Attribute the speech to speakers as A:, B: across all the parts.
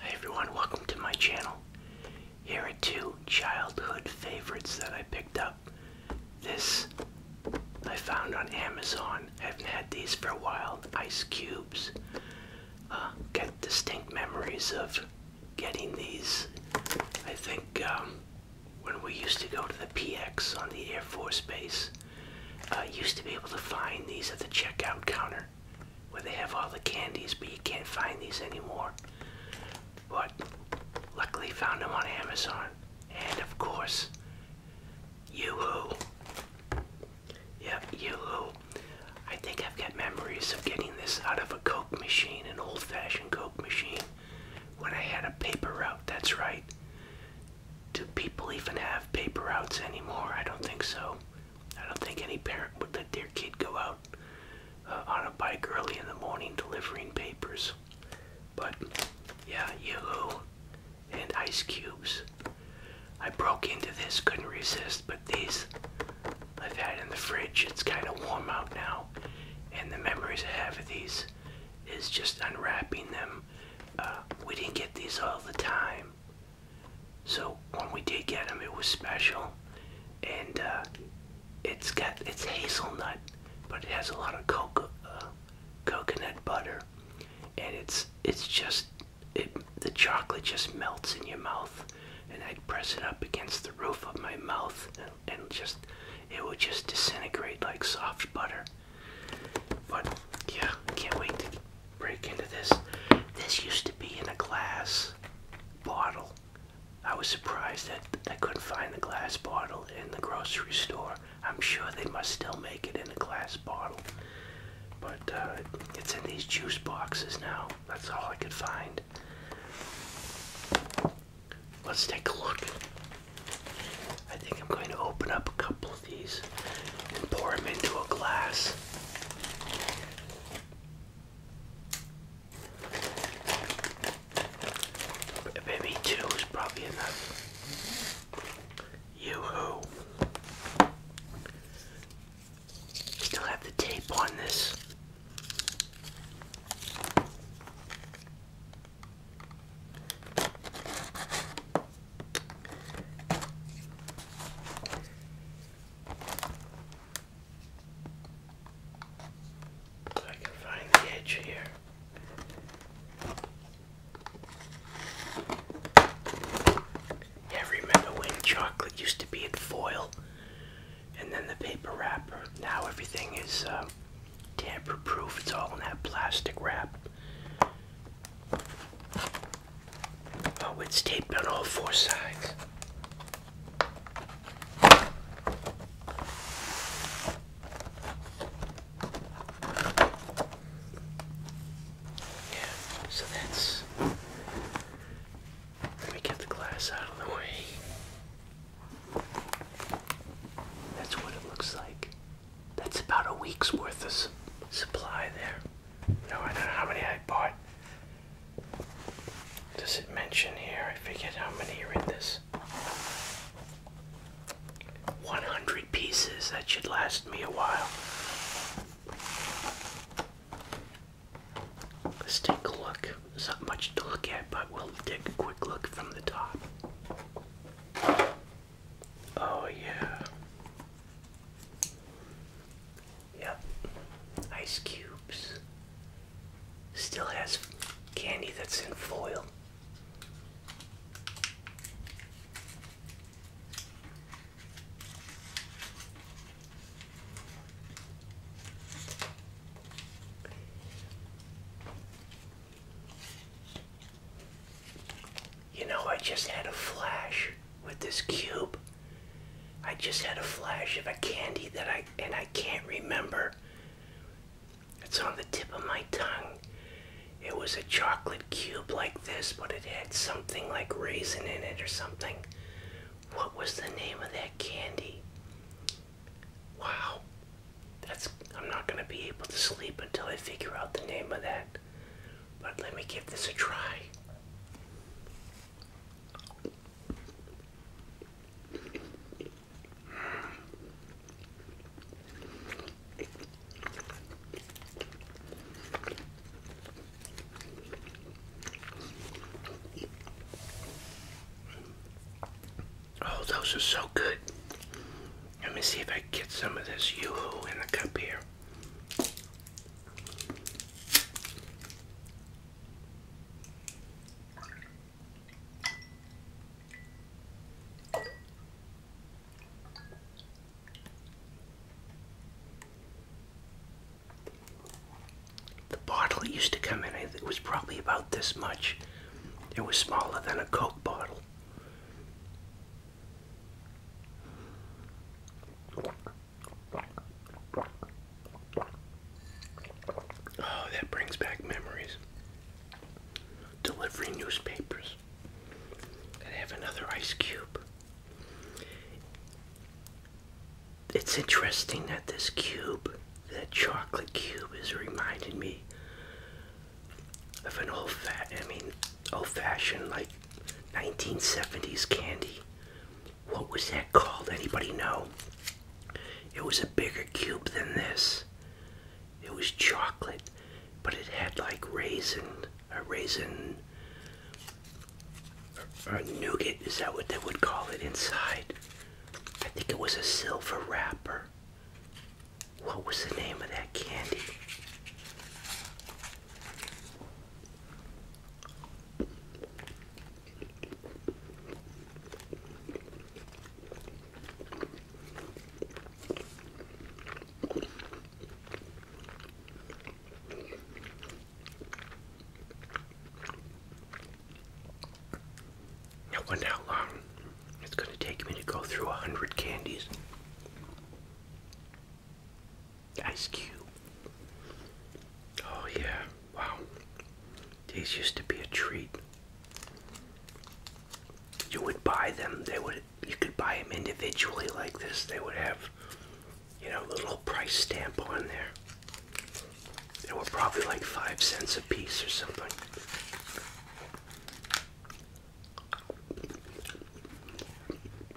A: Hey everyone, welcome to my channel. Here are two childhood favorites that I picked up. This I found on Amazon. I haven't had these for a while. Ice cubes. Uh, get distinct memories of getting these. I think um, when we used to go to the PX on the Air Force Base, uh, used to be able to find these at the checkout counter where they have all the candies, but you can't find these anymore. But luckily found them on Amazon. And of course, yoo Yep, yoo I think I've got memories of getting this out of a Coke machine, an old-fashioned Coke machine, when I had a paper route, that's right. Do people even have paper routes anymore? I don't think so. I don't think any parent would let their kid go out uh, on a bike early in the morning delivering papers. But yeah, Yahoo and ice cubes. I broke into this, couldn't resist, but these I've had in the fridge. It's kind of warm out now, and the memories I have of these is just unwrapping them. Uh, we didn't get these all the time. So when we did get them, it was special, and uh, it's got it's hazelnut, but it has a lot of cocoa, uh, coconut butter, and it's it's just it, the chocolate just melts in your mouth, and I'd press it up against the roof of my mouth, and, just it would just disintegrate like soft butter. But yeah, can't wait break into this. This used to be in a glass bottle. I was surprised that I couldn't find the glass bottle in the grocery store. I'm sure they must still make it in a glass bottle. But uh, it's in these juice boxes now. That's all I could find. Let's take a look. I think I'm going to open up a couple these and pour them into a glass. Maybe two is probably enough. Yoo-hoo. Still have the tape on this. So I can find the edge here. Yeah, remember when chocolate used to be in foil and then the paper wrapper? Now everything is uh, tamper proof, it's all in that plastic wrap. Oh, it's taped on all four sides. Yeah, so that's. Let me get the glass out of the way. That's what it looks like. That's about a week's worth of supply there. No, I don't know how many I bought. Does it mention here? I forget how many are in this. 100 pieces. That should last me a while. Let's take a look. There's not much to look at, but we'll take a quick look from the top. Oh, yeah. Yep. Ice cubes. Still has candy that's in foil. You know, I just had a flash with this cube. I just had a flash of a candy that I and I can't remember. It's on the tip of my tongue. It was a chocolate cube like this, but it had something like raisin in it or something. What was the name of that candy? Wow. That's I'm not going to be able to sleep until I figure out the name of that. But let me give this a try. Oh, those are so good. Let me see if I can get some of this Yoo-Hoo in the cup here. The bottle used to come in, it was probably about this much. It was smaller than a Coke bottle. Oh, that brings back memories. Delivering newspapers. I have another ice cube. It's interesting that this cube, that chocolate cube, is reminding me of an old fat I mean old fashioned like 1970s candy. What was that called? Anybody know? It was a bigger cube than this. It was chocolate, but it had like raisin, a raisin, or, nougat, is that what they would call it inside? I think it was a silver wrapper. What was the name of that candy? I wonder how long it's going to take me to go through a hundred candies. Ice Cube. Oh, yeah. Wow. These used to be a treat. You would buy them. They would. You could buy them individually like this. They would have, you know, a little price stamp on there. They were probably like five cents a piece or something.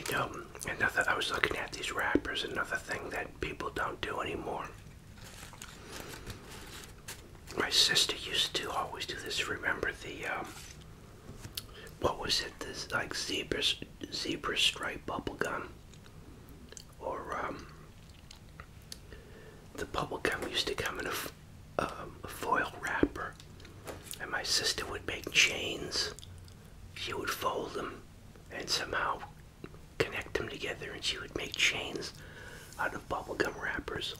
A: You know, another I was looking at these wrappers, another thing that people don't do anymore my sister used to always do this. Remember the um, what was it? This like zebra zebra stripe bubble gum, or um, the bubble gum used to come in um, a foil wrapper, and my sister would make chains. She would fold them, and somehow connect them together and she would make chains out of bubblegum wrappers.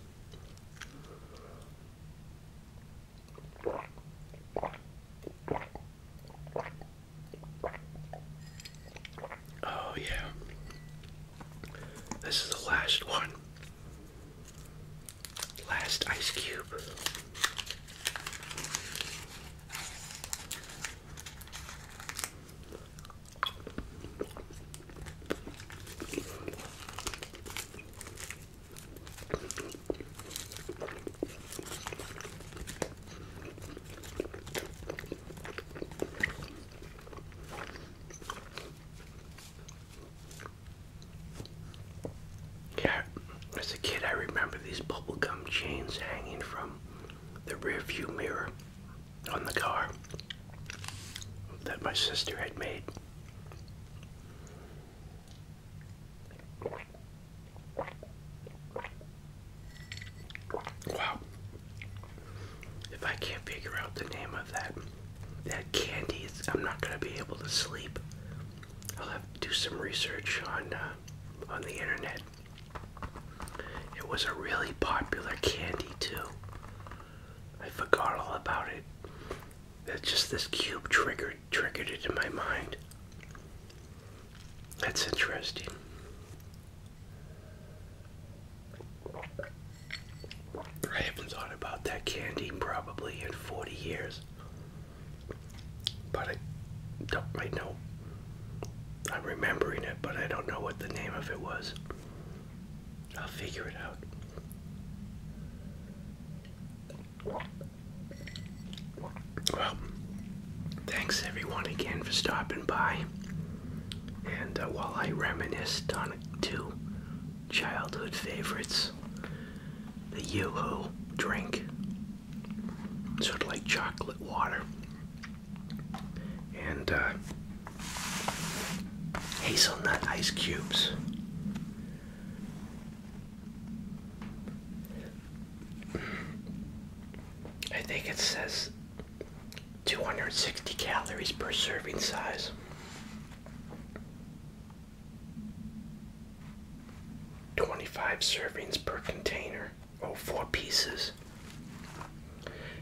A: Oh, yeah. This is the last one. Last ice cube. Yeah, as a kid, I remember these bubblegum chains hanging from the rearview mirror on the car that my sister had made. Wow. If I can't figure out the name of that that candy, I'm not going to be able to sleep. I'll have to do some research on uh, on the internet. It was a really popular candy too. I forgot all about it. That's just this cube triggered triggered it in my mind. That's interesting. I haven't thought about that candy probably in 40 years. But I don't I know I'm remembering it, but I don't know what the name of it was. I'll figure it out. Well, thanks everyone again for stopping by. And uh, while I reminisced on two childhood favorites, the Yoo-Hoo drink, sort of like chocolate water, and uh, hazelnut ice cubes. I think it says 260 calories per serving size. Twenty-five servings per container oh four pieces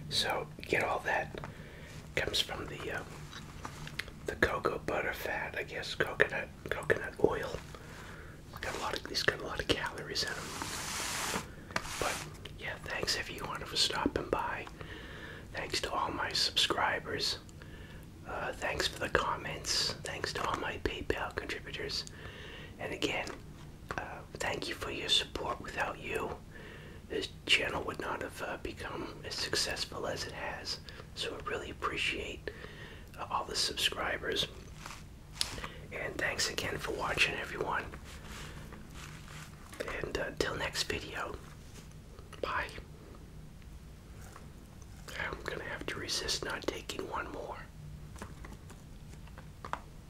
A: so get all that comes from the uh, the cocoa butter fat i guess coconut coconut oil got a lot of these got a lot of calories in them but yeah thanks if you everyone for stopping by thanks to all my subscribers uh, thanks for the comments thanks to all my paypal contributors and again uh, thank you for your support. Without you, this channel would not have uh, become as successful as it has. So I really appreciate uh, all the subscribers. And thanks again for watching, everyone. And until next video, bye. I'm gonna have to resist not taking one more.